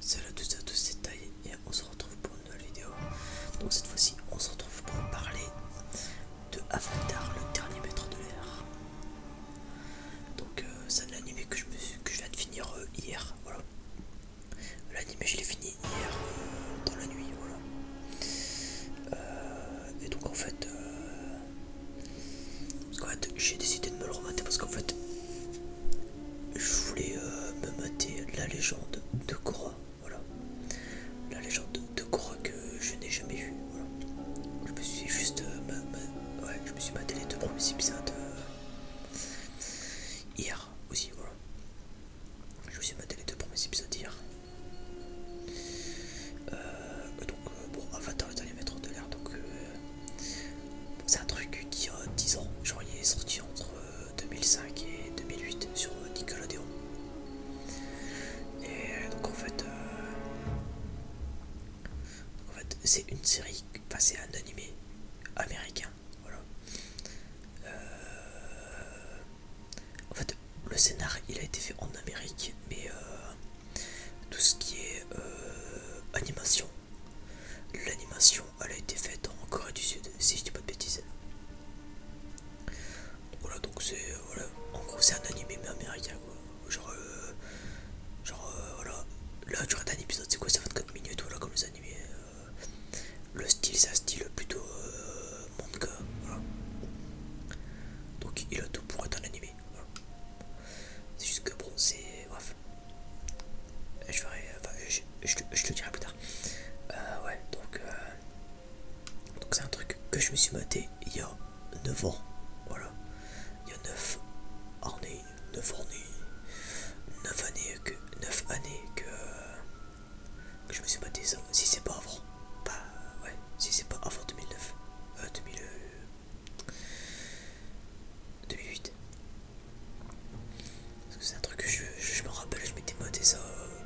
Salut à tous à tous, c'est Taï et on se retrouve pour une nouvelle vidéo. Donc cette fois-ci, on se retrouve pour parler de Avatar, le dernier maître de l'air. Donc ça euh, c'est un que je, viens de finir euh, hier, voilà. L'anime, je l'ai fini hier euh, dans la nuit, voilà. Euh, et donc en euh, fait, j'ai décidé de me le remater parce qu'en fait, je voulais me mater la légende de Korra, voilà. La légende de Korra que je n'ai jamais vue, Je me suis juste, ouais, je me suis maté les deux premiers épisodes hier aussi, voilà. Je vous ai les deux premiers épisodes hier. Euh, donc, euh, bon, Avatar est allé mettre de l'air, donc euh, c'est un truc qui a 10 ans. Genre, il est sorti entre 2005 et 2008 sur Nickelodeon. Et donc, en fait, c'est une série, passée c'est un animé américain voilà. Euh, en fait, le scénar il a été fait en Amérique, mais euh, tout ce qui est euh, animation, l'animation elle a été faite en Corée du Sud, si je dis pas de bêtises. Voilà, donc c'est. en gros, c'est un animé américain quoi. Genre, genre voilà là tu as un épisode c'est quoi C'est 24 minutes, voilà, comme les animés. Euh, le style, ça style plutôt euh, manga. Voilà. Donc il a tout pour être un animé. C'est juste que bon, c'est. Je verrai je, je te le dirai plus tard. Euh, ouais, donc. donc c'est un truc que je me suis maté il y a 9 ans. Voilà. Il y a 9 années. 9 années, 9 années que, 9 années que, je me suis battu ça. Si c'est pas avant, ouais, si c'est pas avant 2009, euh, 2008. Euh, Parce que c'est un truc que je, me rappelle, je m'étais modé ça. Euh,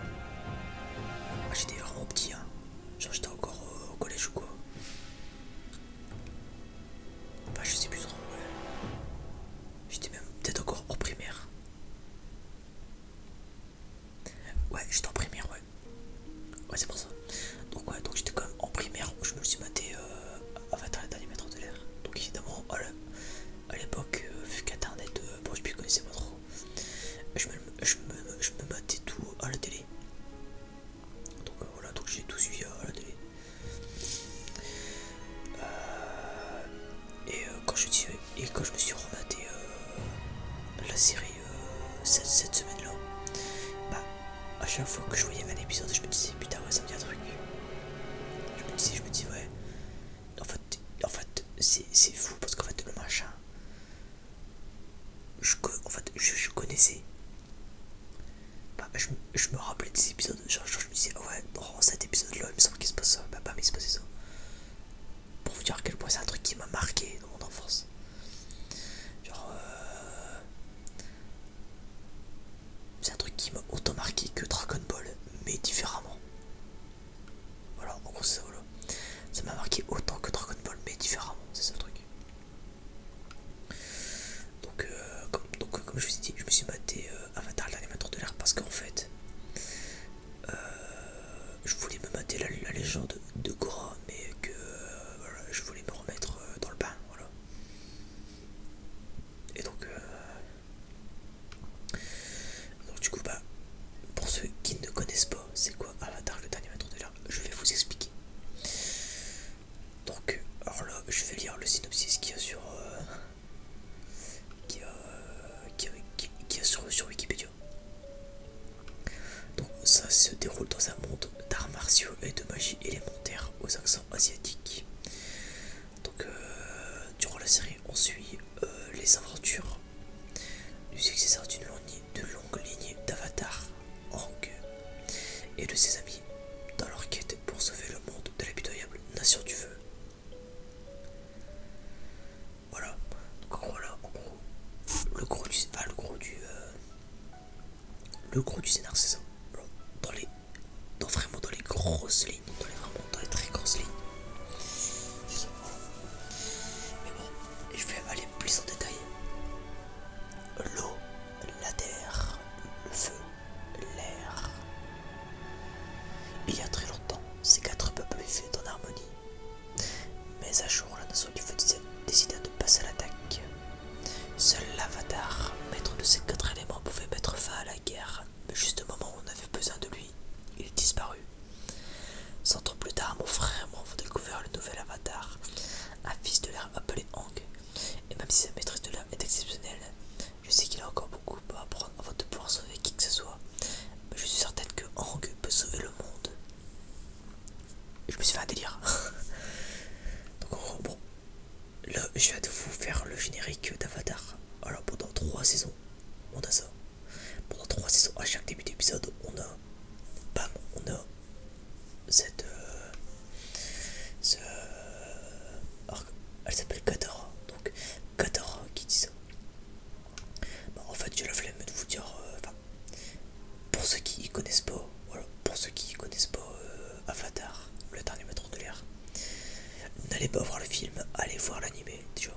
ah, j'étais vraiment petit, hein. j'étais encore euh, au collège ou quoi. Enfin, bah, je sais plus trop. J'étais même peut-être encore en primaire. Ouais, j'étais en primaire, ouais. Ouais, c'est pour ça. Donc, ouais, donc j'étais quand même en primaire où je me suis maté euh, Avatar les derniers mètres de l'air. Donc, évidemment, à l'époque, euh, vu qu'internet, euh, bon, je ne connaissais pas trop, je me, je, je me matais tout à la télé. Donc euh, voilà, donc j'ai tout suivi euh, à la télé. Euh, et, quand je, et quand je me suis rematé la série cette, semaine là, bah, à chaque fois que je voyais un épisode, je me disais putain ouais ça me dit un truc. Je me disais, je me disais ouais. En fait, en fait c'est fou parce qu'en fait le machin, je, en fait, je, je connaissais bah, je, me rappelais des épisodes, genre, je me disais, ouais, bon oh, cet épisode-là, il me semble qu'il se passe ça, bah, bah, mais il se passait ça. Pour vous dire à quel point c'est un truc qui m'a marqué dans mon enfance. Genre, euh, c'est un truc qui m'a autant marqué que Dragon Ball, mais différemment. Voilà, en gros, c'est ça, Ça m'a marqué autant que Dragon Ball, mais différemment, c'est ça le truc. Donc, euh, comme, donc euh, comme je vous ai dit, je me suis euh, Avatar le dernier l'animateur de l'air parce qu'en fait, je voulais me mater la, légende de Gora, mais que je voulais me remettre dans le bain. Voilà. Et donc, du coup, bah, pour ceux qui ne connaissent pas, c'est quoi Avatar le dernier maître de l'air Je vais vous expliquer. Donc, alors là, je vais lire le synopsis qu'il sur, euh, qui est sur, Wikipédia. Donc ça se déroule dans un monde d'arts martiaux et de magie élémentaire aux accents asiatiques. Donc euh, durant la série, on suit euh, les aventures du successeur d'une longue, lignée d'Avatar, orgue et de ses amis dans leur quête pour sauver le monde de l'habitoyable nation du feu. Voilà, donc le gros du, gros du, euh, le gros du scénar c'est ça, dans les, dans vraiment dans les grosses lignes, dans les vraiment dans les très grosses lignes. Mais bon, je vais aller plus en détail. L'eau la terre, le feu, l'air. Il y a très longtemps, ces quatre peuples vivaient en harmonie. Mais un jour, la nation du feu décida de passer à l'attaque. Seul l'avatar, maître de ces quatre éléments, pouvait mettre fin à la guerre, mais juste au moment où on avait besoin de lui, il disparut. Cent ans plus tard, mon frère m'a découvrir découvert le nouvel avatar, un fils de l'air appelé Hang, et même si sa maîtrise de l'âme est exceptionnelle, je sais qu'il a encore beaucoup à apprendre avant de pouvoir sauver qui que ce soit. Mais je suis certaine que Hang peut sauver le monde. Je me suis fait un délire. Donc bon, là je viens de vous faire le générique d'Avatar. Alors pendant 3 saisons, on a ça. Pendant 3 saisons, à chaque début d'épisode, on a... Bam, on a cette euh, ce, euh, elle s'appelle Katara donc Katara qui dit ça en fait je la flemme de vous dire euh, pour ceux qui connaissent pas voilà pour ceux qui connaissent pas Avatar le dernier maître de l'air n'allez pas voir le film allez voir l'animé déjà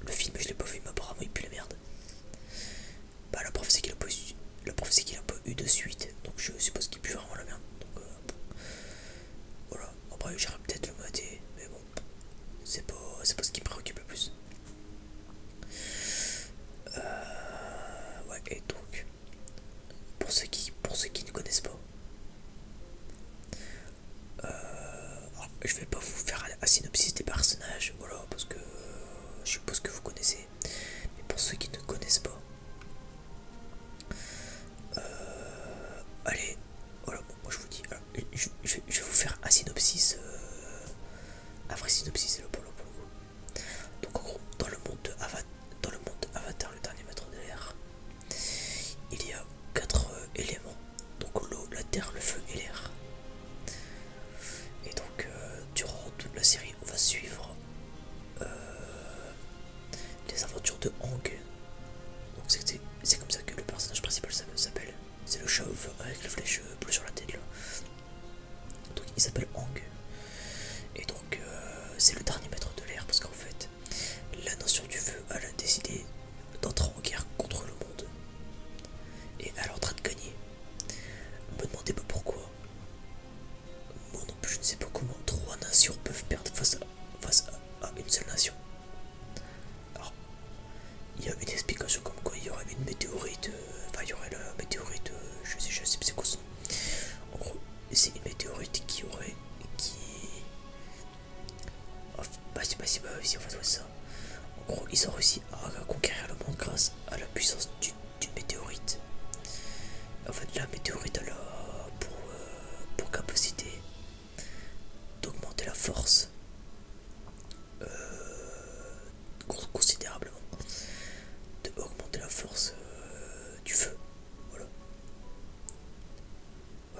le film je l'ai pas vu mais apparemment il pue la merde bah la prof c'est qu'il a le prophétie c'est qu'il a pas eu de suite, donc je suppose qu'il pue vraiment la merde. Donc euh, voilà, après j'irai peut-être le mater, mais bon, c'est pas, pas ce qui me préoccupe le plus. Euh, ouais, et donc, pour ceux qui, pour ceux qui ne connaissent pas, euh, ah, je vais pas vous faire un, synopsis des personnages, voilà, parce que je suppose que vous connaissez mais pour ceux qui ne connaissent pas, euh, allez, voilà, moi je vous dis, euh, je, vais vous faire un synopsis, euh, un vrai synopsis, c'est le polo pour Donc en gros, dans le monde de Avatar, dans le monde Avatar, le dernier maître de l'air, il y a quatre éléments, donc l'eau, la terre, le feu et l'air. Et donc durant toute la série, on va suivre les aventures de Hang. Donc c'est comme ça que le personnage principal s'appelle. C'est le chauve avec la flèche euh, bleue sur la tête Donc il s'appelle Hang. Et donc euh, c'est le dernier maître de l'air parce qu'en fait la nation du feu a décidé d'entrer en guerre contre le monde. Et elle est en train de gagner. me demandez pas pourquoi. Moi non plus, je ne sais pas comment trois nations peuvent perdre face à, face à, une seule nation. Alors, il y a une explication comme quoi il y aurait une météorite, euh, enfin il y aurait la météorite, euh, je sais, je sais pas c'est quoi son. En gros, c'est une météorite qui aurait, qui... bah on ça. En gros, ils ont réussi à conquérir le monde grâce à la puissance du d'une météorite. En fait, la météorite a pour, euh, pour capacité d'augmenter la force euh, considérablement, considérablement, d'augmenter la force euh, du feu.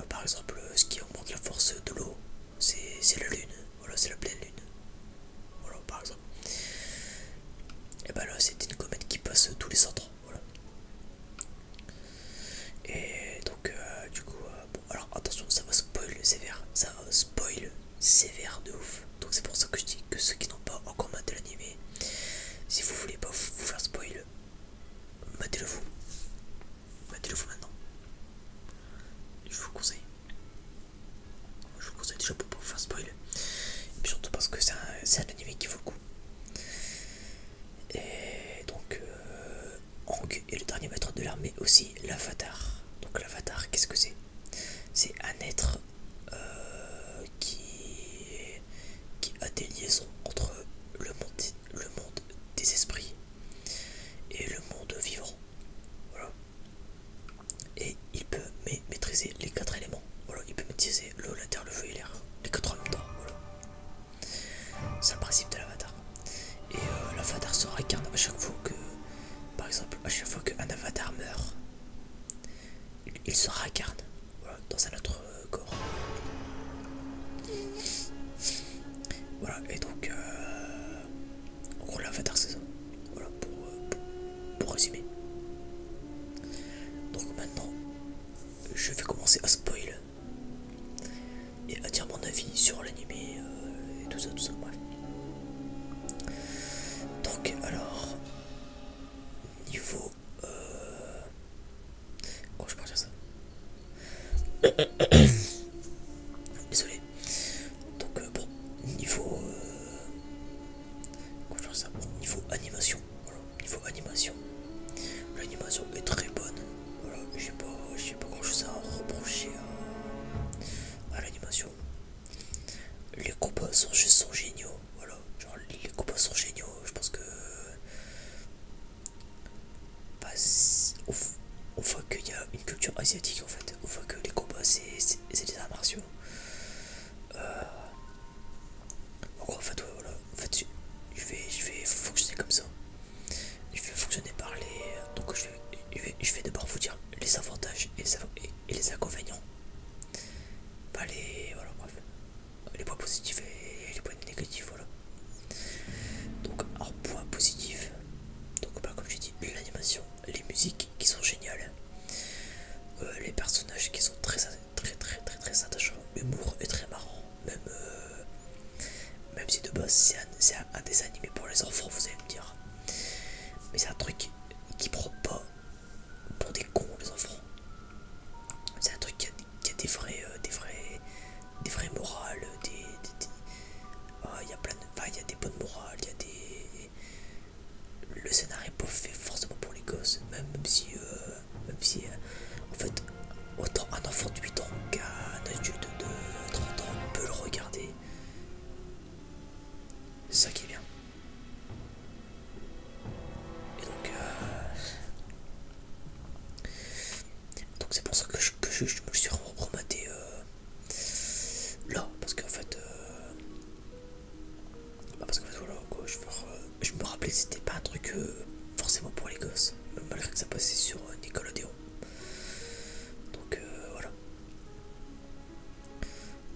par exemple, ce qui augmente la force de l'eau, c'est la lune. Voilà, c'est la pleine lune. Voilà, par exemple. Et ben là, c'est une comète qui passe tous les centres voilà. Et donc, euh, du coup, euh, alors attention, ça va spoiler sévère, ça va spoil sévère de ouf. Donc, c'est pour ça que je dis que ceux qui n'ont pas encore maté l'animé, si vous voulez pas vous faire spoil, matez-le vous, matez-le vous maintenant. Je vous conseille, je vous conseille déjà pour pas vous faire spoil, surtout parce que c'est un, animé qui vaut le coup. Et donc, euh, est le dernier maître de l'armée aussi, l'avatar. Donc l'avatar, qu'est-ce que c'est C'est un être euh, qui, a des liaisons entre le monde, le monde des esprits et le monde vivant. Et il peut maîtriser les quatre éléments. Voilà, il peut maîtriser le l'avatar, le feu et l'air, les quatre en même temps, voilà. C'est le principe de l'avatar. Et euh, l'avatar se réincarne à chaque fois que, par exemple, à chaque fois qu'un avatar meurt, il, se réincarne dans un autre euh, corps. Voilà, et donc, euh, en gros, l'avatar c'est ça. Voilà, pour résumer. Donc maintenant, je vais commencer à spoiler et à dire mon avis sur l'animé euh, et tout ça, tout ça, Donc, alors, niveau. Euh... Oh, euh, euh comment je peux dire ça Désolé. Donc, bon, niveau. Comment je ça Niveau animation niveau animation. L'animation est très bonne. Voilà, j'ai pas, pas grand chose à reprocher à, l'animation. Les combats sont, sont géniaux. Voilà, genre les combats sont géniaux. Je pense que. on, bah, voit qu'il y a une culture asiatique en fait. On voit que les combats c'est des arts martiaux. Euh, en fait, fait, je vais, je vais fonctionner comme ça. Je vais fonctionner par Donc, je vais, je vais, d'abord vous dire les avantages et les, inconvénients. Pas les. Voilà, bref. Les points positifs et les points négatifs, voilà. Donc, en point positif, donc, bah, comme j'ai dit, l'animation, les musiques qui sont géniales, euh, les personnages qui sont très très très très très attachant, l'humour est très marrant, même, euh, même si de base c'est un, dessin animé pour les enfants, vous allez me dire. Mais c'est un truc qui prend pas pour des cons les enfants. C'est un truc qui a, des vrais, euh, des vrais, des vrais morales, des, ah, il y plein de... il y a des bonnes morales, il y a des le scénario est fait forcément pour les gosses, même si, euh, même si euh, en fait, autant un enfant de 8 ans qu'un adulte de 30 ans peut le regarder. C'est ça qui est bien. Et donc, euh, donc c'est pour ça que je, me suis rematé là, parce qu'en fait, bah, parce que voilà, je, me rappelais que c'était pas un truc euh, forcément pour les gosses, malgré que ça passait sur Nicolas euh, Nickelodeon. Donc euh, voilà.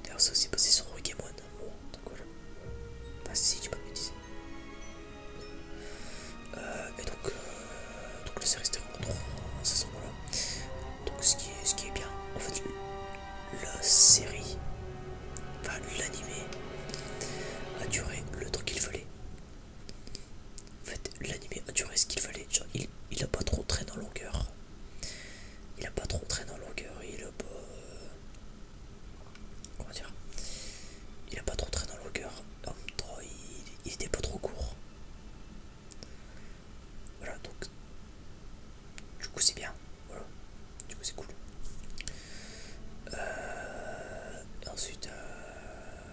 D'ailleurs, ça aussi passé sur Rogue hein, Bon, donc voilà. Enfin bah, si, tu pas de dire. et donc, donc la série c'était en hein, Donc ce qui, est, ce qui est bien, en fait, la série, enfin l'animé, a duré le temps qu'il fallait. En fait, l'animé a duré ce qu'il fallait. il, n'a a pas trop traîné dans longueur. Il a pas trop traîné en longueur. Il a pas. Euh, comment dire Il a pas trop traîné dans longueur. il, il était pas trop court. Voilà donc. Du coup c'est bien. Voilà. Du coup c'est cool. Euh, ensuite... Euh,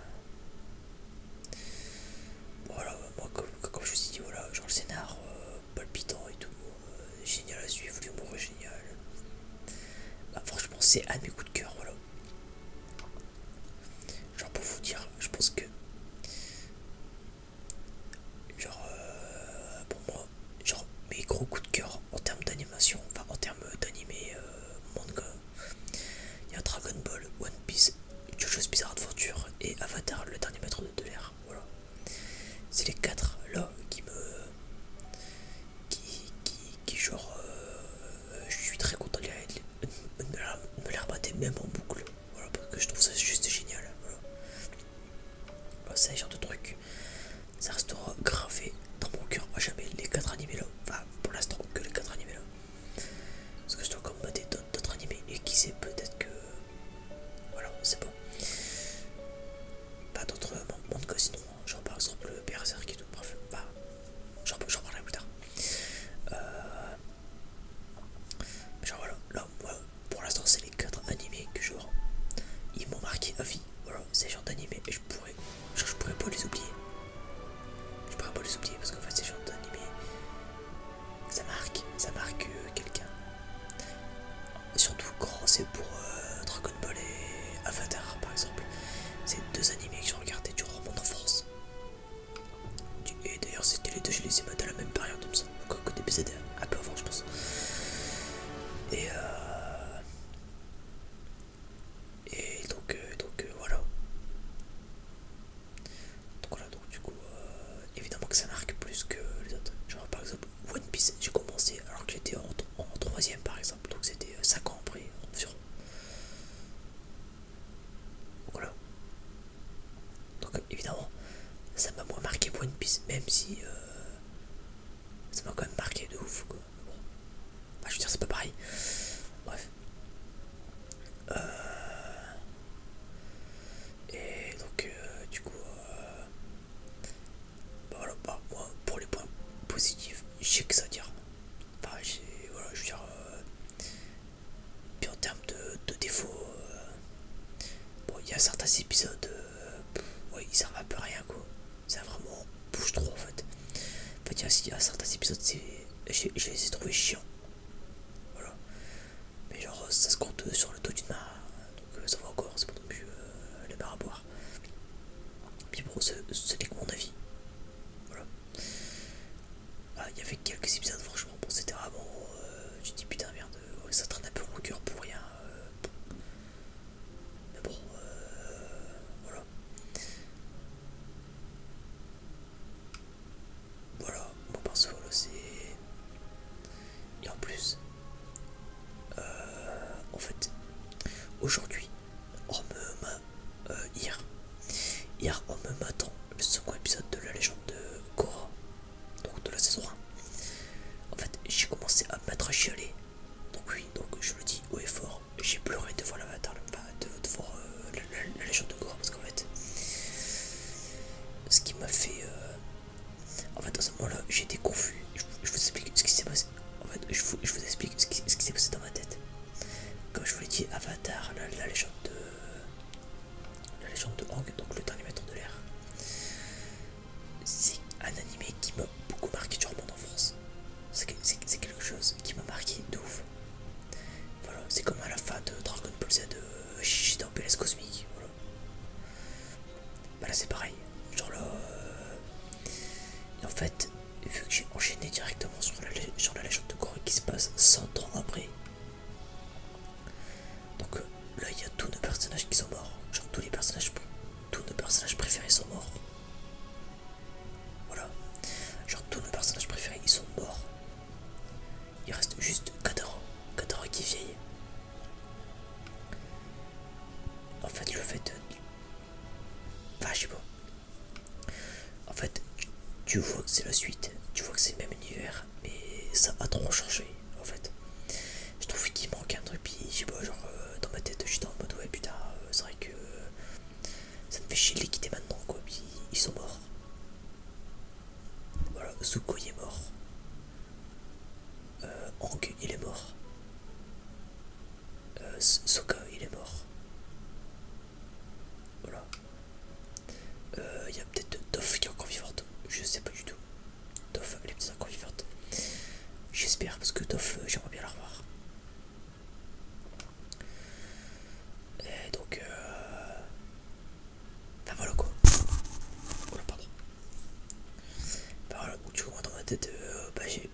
voilà, moi comme, je vous ai dit, voilà, genre le scénar euh, palpitant et tout. génial à suivre, l'humour est génial. Ah, franchement c'est un mes coups de cœur, voilà. Genre pour vous dire, je pense que... Genre, pour moi, genre mes gros coups de cœur en termes d'animation, enfin en termes d'animé manga. Il y a Dragon Ball, One Piece, Jojo's Bizarre Adventure et Avatar, le dernier maître de l'air. Voilà. C'est les quatre là qui me. qui. qui, qui genre. je suis très content de les, les même en boucle. Voilà, parce que je trouve ça juste génial. C'est bah, ce genre de truc, ça restera gravé dans mon cœur à jamais. Les 4 animés là, enfin pour l'instant que les 4 animés là. Parce que je dois combattre d'autres animés et qui sait peut-être que... Voilà, c'est bon. Pas d'autres euh, monde sinon, hein. genre par exemple le Berserk et tout, bref, bah, j'en parlerai plus tard. Euh, genre voilà, là, voilà, pour l'instant c'est les 4 animés que regarde. ils m'ont marqué à vie voilà ces gens d'animés et je pourrais je pourrais pas les oublier je pourrais pas les oublier parce qu'en fait ces gens d'animés ça marque ça marque euh, quelqu'un surtout quand c'est pour euh, Dragon Ball et Avatar par exemple c'est deux animés que j'ai regardé durant en France. et d'ailleurs c'était les deux je les ai à la même période comme ça, que des un peu avant, je pense. Et, euh, donc, euh, euh, voilà. Donc voilà, donc du coup, évidemment que ça marque plus que les autres. Genre par exemple, One Piece, j'ai commencé alors que j'étais en, en troisième par exemple, donc c'était 5 ans après environ. Voilà. Donc évidemment, ça m'a moins marqué One Piece, même si ça m'a quand même marqué de ouf quoi. je veux dire c'est pas pareil. Bref. Euh... Et donc euh, du coup euh, bah voilà bah, pour les points positifs j'ai que ça à dire. Enfin voilà je veux dire euh, puis en termes de, de défauts bon il y a certains épisodes euh, ouais, ils servent à peu à rien quoi. Ça vraiment bouge trop en fait. En fait, il y a certains épisodes, je, je les ai trouvés chiants. Mais genre, ça se compte euh, sur le dos d'une main. Donc, euh, ça va encore, c'est pas non plus la à boire. Puis bon, ce n'est que mon avis. Voilà. Ah, il y avait quelques épisodes, franchement, bon, c'était vraiment. J'ai dit putain, merde, ça traîne un peu mon cœur pour rien. Mais bon, euh, voilà. Voilà, mon perso, c'est... Et en plus, euh, en fait, aujourd'hui, on me euh, hier, hier, on me m'attend le second épisode de la légende de Korra donc de la saison 1. En fait, j'ai commencé à me mettre à chialer. Donc oui, donc je le dis haut et fort, j'ai pleuré devant l'avatar, enfin, devant euh, la, légende de Gore, parce qu'en fait, ce qui m'a fait... Euh, en fait, à ce moment-là, j'étais confus. Je, vous explique ce qui s'est passé. En fait, je vous, explique ce qui, s'est passé dans ma tête. Comme je vous l'ai dit, Avatar, la, légende de... La légende de Hang, donc le dernier maître de l'air c'est un anime qui m'a beaucoup marqué durant mon enfance. C'est quelque chose qui m'a marqué d'ouf Voilà, c'est comme à la fin de Dragon Ball Z euh, de en PS Cosmique. Voilà. Bah là c'est pareil. Genre là... Euh, en fait, vu que j'ai enchaîné directement sur la, sur la légende de Corée qui se passe 100 ans après. Donc euh, Là, il y a tous nos personnages qui sont morts. Genre, tous les personnages, tous nos personnages préférés sont morts. Voilà. Genre, tous nos personnages préférés, ils sont morts. Il reste juste Kadara. Kadara qui vieille. En fait, le fait de... Enfin, En fait, tu vois que c'est la suite, tu vois que c'est le même univers, mais ça a trop changé en fait. Je trouve qu'il manque un truc, puis je sais pas, genre euh, dans ma tête, dans le mode ouais, putain, euh, c'est vrai que euh, ça me fait chier de les quitter maintenant, quoi, puis ils sont morts. Voilà, Zuko il est mort. Euh, il est mort. Euh, Soka il est mort. Voilà. Il y a peut-être Doff qui est encore vivante. Je sais pas du tout vidéo. les petits vivantes. J'espère, parce que Toff, euh, j'aimerais bien la revoir. Et donc, euh... Ben voilà quoi. Oh ben voilà, pardon. Bah voilà, tu vois dans ma tête, bah j'ai.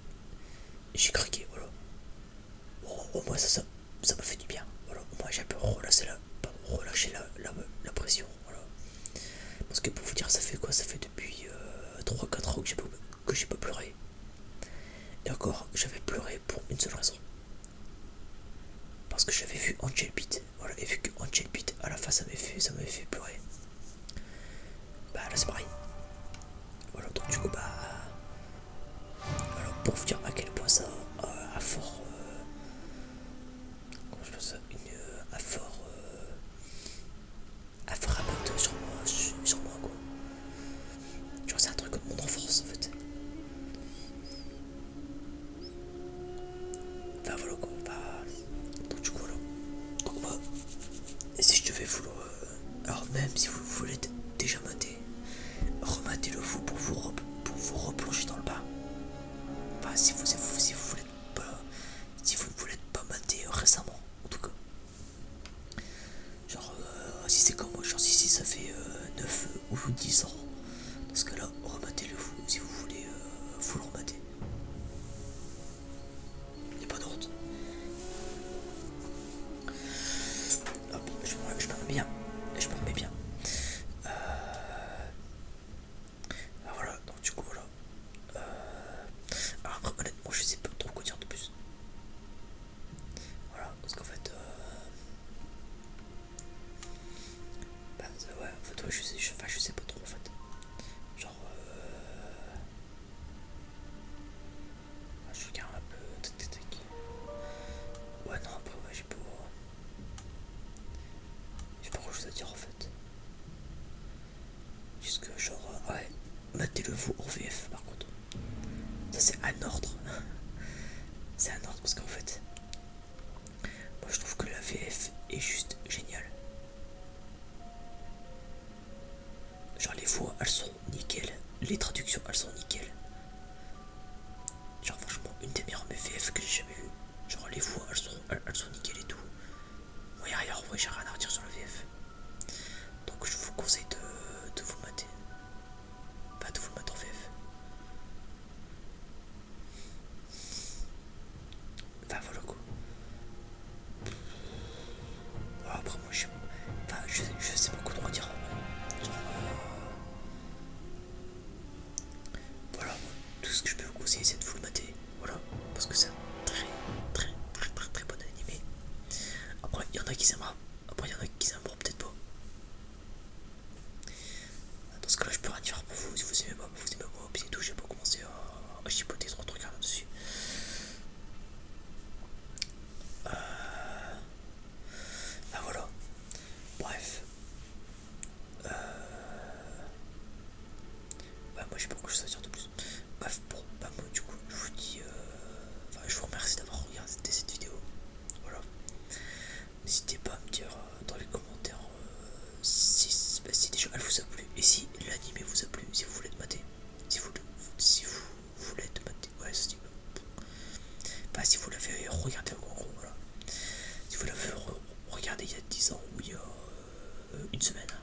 J'ai craqué, voilà. au moins ça, ça m'a fait du bien. Voilà, au moins j'ai un peu relâché la, la, la pression voilà. Parce que pour vous dire, ça fait quoi Ça fait depuis 3-4 euh, ans que j'ai pas, pleuré. Et encore, j'avais pleuré pour une seule raison. Parce que j'avais vu Angel Beat. Voilà, et vu que Angel Beat à la fin ça m'avait fait, ça fait pleurer. Bah là c'est pareil. Voilà, donc du coup bah... Alors pour vous dire à quel point ça a euh, fort... Euh, comment je pense ça Une... a fort à frapper un sur moi, sur moi quoi. tu vois c'est un truc de mon enfance en fait. Enfin voilà quoi, bah Donc du coup voilà. Donc moi, si je fais vouloir... Euh, alors même si vous voulez déjà mater, rematez le vous pour vous, pour vous replonger dans le bas. bah si vous, si vous, si vous voulez si vous ne voulez pas mater euh, récemment, en tout cas. Genre, euh, si c'est comme moi, genre si, ça fait 9 euh, ou 10 ans, dans ce cas-là, rematez-le vous si vous voulez vous le remater. Il a pas de je me remets bien. Je me remets bien. Ah, voilà, donc du coup voilà. Euh... Alors honnêtement je sais pas trop quoi dire de plus. Voilà, parce qu'en fait... Euh... Bah ouais, en fait ouais, je sais, sais pas trop en fait. Genre... Euh... Ah, je regarde un peu... Ouais non après ouais j'ai pas... J'ai pas quoi chose à dire en fait. Puisque genre, euh, ouais, matez-le vous en VF par contre. Ça c'est un ordre. c'est un ordre parce qu'en fait, moi je trouve que la VF est juste géniale. Genre les voix elles sont nickel, les traductions elles sont nickel. Genre franchement une des meilleures VF que j'ai jamais vues. Genre les voix elles sont, elles sont nickel et tout. Oui, ailleurs, oui, j'ai rien à redire sur le VF. Donc, je vous conseille de, vous mater. Pas de vous mater en VF. Enfin, voilà quoi. après, moi, je, sais beaucoup trop dire. Voilà, tout ce que je peux vous conseiller, c'est de vous le mater. Voilà, parce que c'est un très très très très très bon animé. Après, il y en a qui aimeront, après il y en a qui aimeront peut-être pas. Dans ce cas-là, je peux rien dire pour vous. Si vous aimez pas, vous aimez pas, puis c'est tout. J'ai pas commencé à, chipoter trop de trucs là-dessus. Euh... Ah voilà. Bref. Euh... Ouais moi je sais pas pourquoi je à dire de plus. Bref, bon, bah moi du coup je vous dis... Euh, enfin je vous remercie d'avoir regardé cette vidéo. Voilà. N'hésitez pas à me dire euh, dans les commentaires euh, bah, si, déjà elle vous a plu. Et si l'anime vous a plu, si vous voulez te mater. Si vous, si vous voulez te mater. Ouais, Bah si vous l'avez regardé en gros, voilà. Si vous l'avez regardé il y a 10 ans ou il y a euh, une semaine. Hein.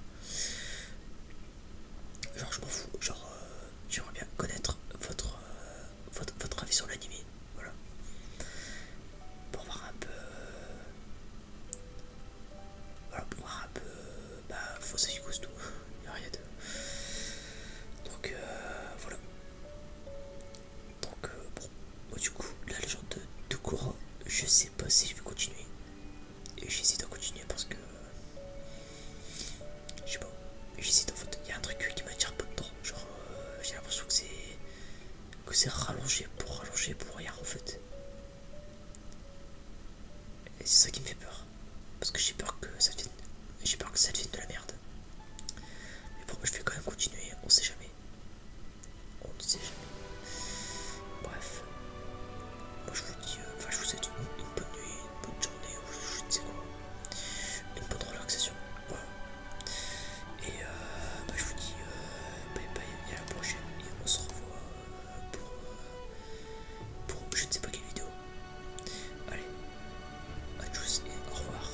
Genre je m'en fous, genre euh, j'aimerais bien connaître votre, euh, votre, avis sur l'anime, voilà. Pour voir un peu... Voilà, pour voir un peu... Bah, faut ça y tout, il rien de... Donc voilà. Donc bon, moi, du coup, la légende de, courant je sais pas si je vais continuer. Et j'hésite à continuer parce que. Je sais pas, j'hésite en fait. Il y a un truc qui m'attire pas dedans. Genre, euh, j'ai l'impression que c'est. que c'est rallongé pour rallonger pour rien en fait. Et c'est ça qui me fait peur. Parce que j'ai peur que ça devienne. J'ai peur que ça devienne de la merde. Mais pourquoi je vais quand même continuer, on sait jamais. On ne sait jamais. Bref. je vous dis, euh, enfin je vous souhaite une, bonne nuit, une bonne journée, je, ne sais quoi. Une bonne relaxation. Et euh, bah, je vous dis bye bye à la prochaine et on se revoit euh, pour, pour je ne sais pas quelle vidéo. Allez, à tous et au revoir.